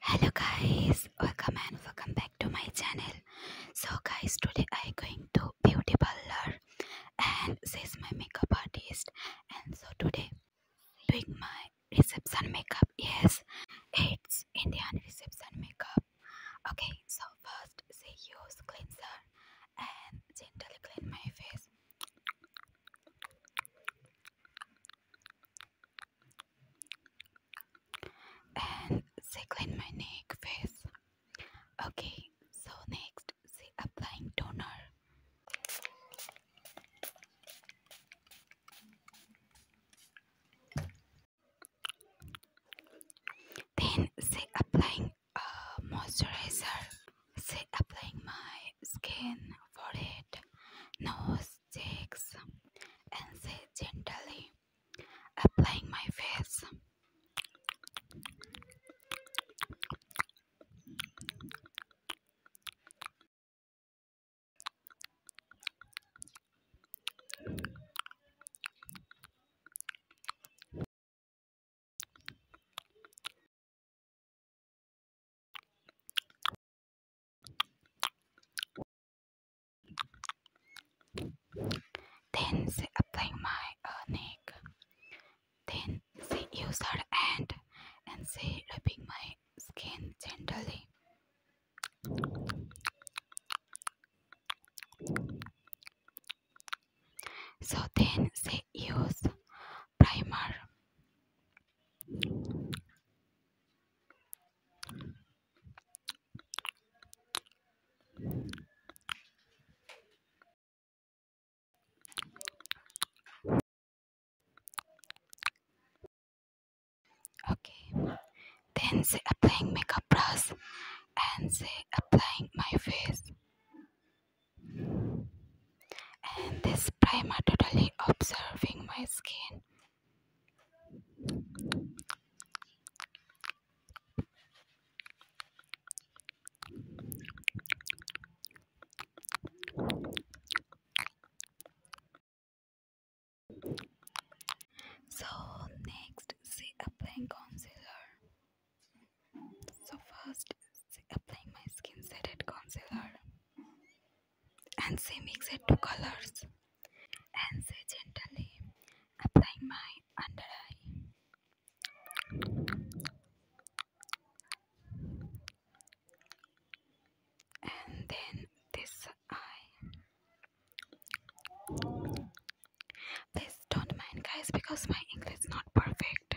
hello guys welcome and welcome back to my channel so guys today i am going to beauty parlor and this is my makeup artist and so today doing my reception makeup yes it's indian reception makeup okay so first say use cleanser and gently clean my face and they clean my neck face okay so next they applying toner then they applying uh, moisturizer say applying my skin for it. No sticks. and say gently applying my face then she applied my uh, neck. Then she used her hand and she rubbing my skin gently. So then she use primer okay then say applying makeup brush and say applying my face and this primer totally observing my skin so next see applying concealer so first, apply my skin setted concealer and say mix it two colors and say gently applying my under eye and then this eye please don't mind guys because my english is not perfect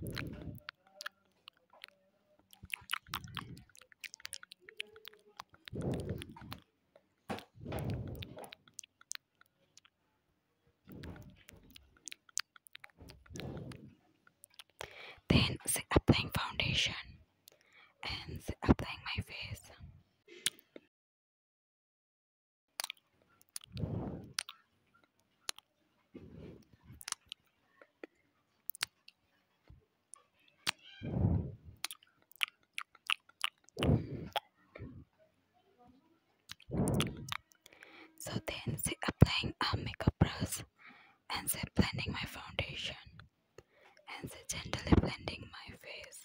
Then the applying foundation and applying my face. So then say applying a makeup brush and say blending my foundation and say gently blending my face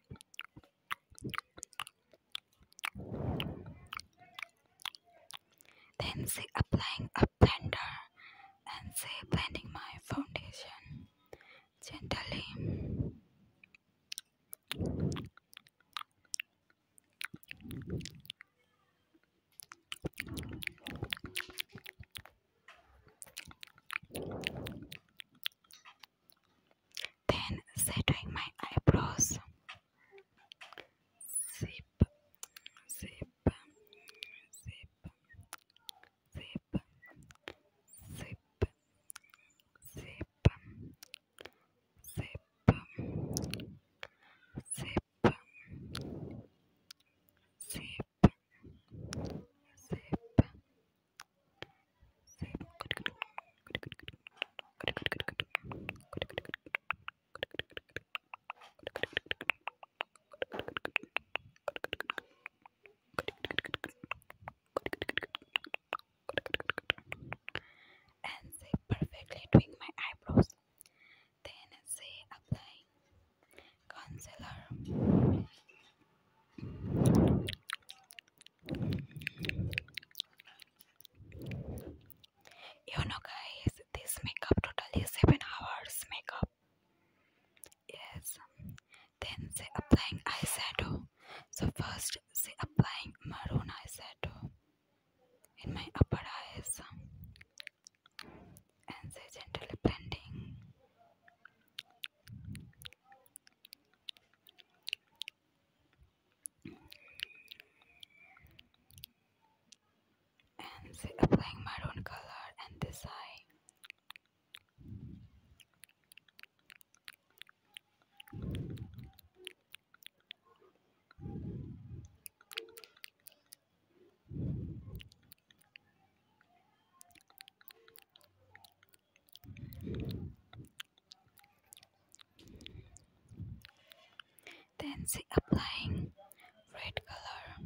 Then say applying a blender and say blending my foundation gently. then setting my eyebrows zip zip zip zip zip zip zip zip zip, zip. and they perfectly doing my eyebrows. Then they applying counselor. You know, guys, this makeup totally seven hours makeup. Yes. Then say applying eyeshadow. So first say applying maroon eyeshadow in my upper eyes and so gently blending. And applying maroon color and this eye. Then see applying red color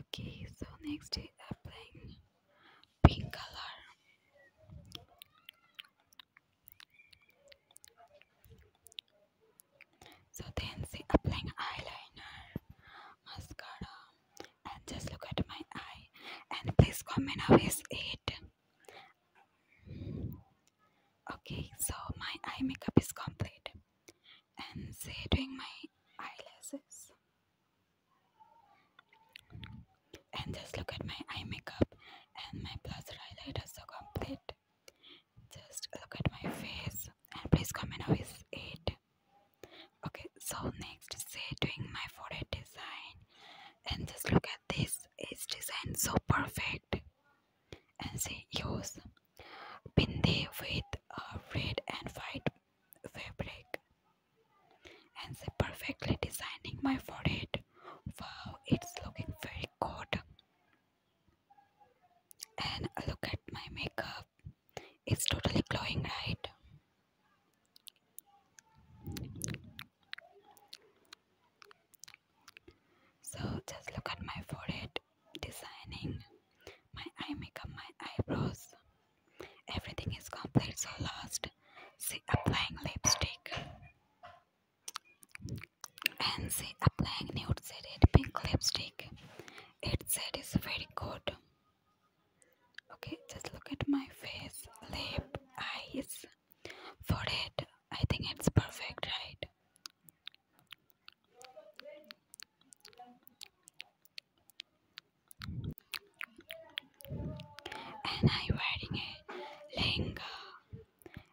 okay so next is applying pink color so then see applying eyeliner mascara and just look at my eye and please comment how is it Okay, so my eye makeup is complete. And say doing my eyelashes. And just look at my eye makeup and my blush highlight is so complete. Just look at my face and please comment how is it. Okay, so next say doing my forehead design and just look at this. It's designed so perfect. And say use bindi with a red and white fabric and say perfectly designing my forehead wow it's looking very good and look at my makeup it's totally glowing right so just look at my forehead, designing, my eye makeup, my eyebrows. Everything is complete, so last, see applying lipstick. And see applying nude shaded pink lipstick. It said is very good. Okay, just look at my face, lip, eyes, forehead. I think it's perfect, right? And I'm wearing a lehenga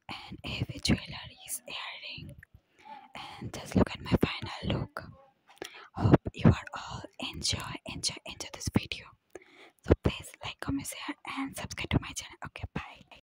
and heavy jewelries earring. And just look at my final look. Hope you are all enjoy, enjoy, enjoy this video. So please like, comment, share, and subscribe to my channel. Okay, bye.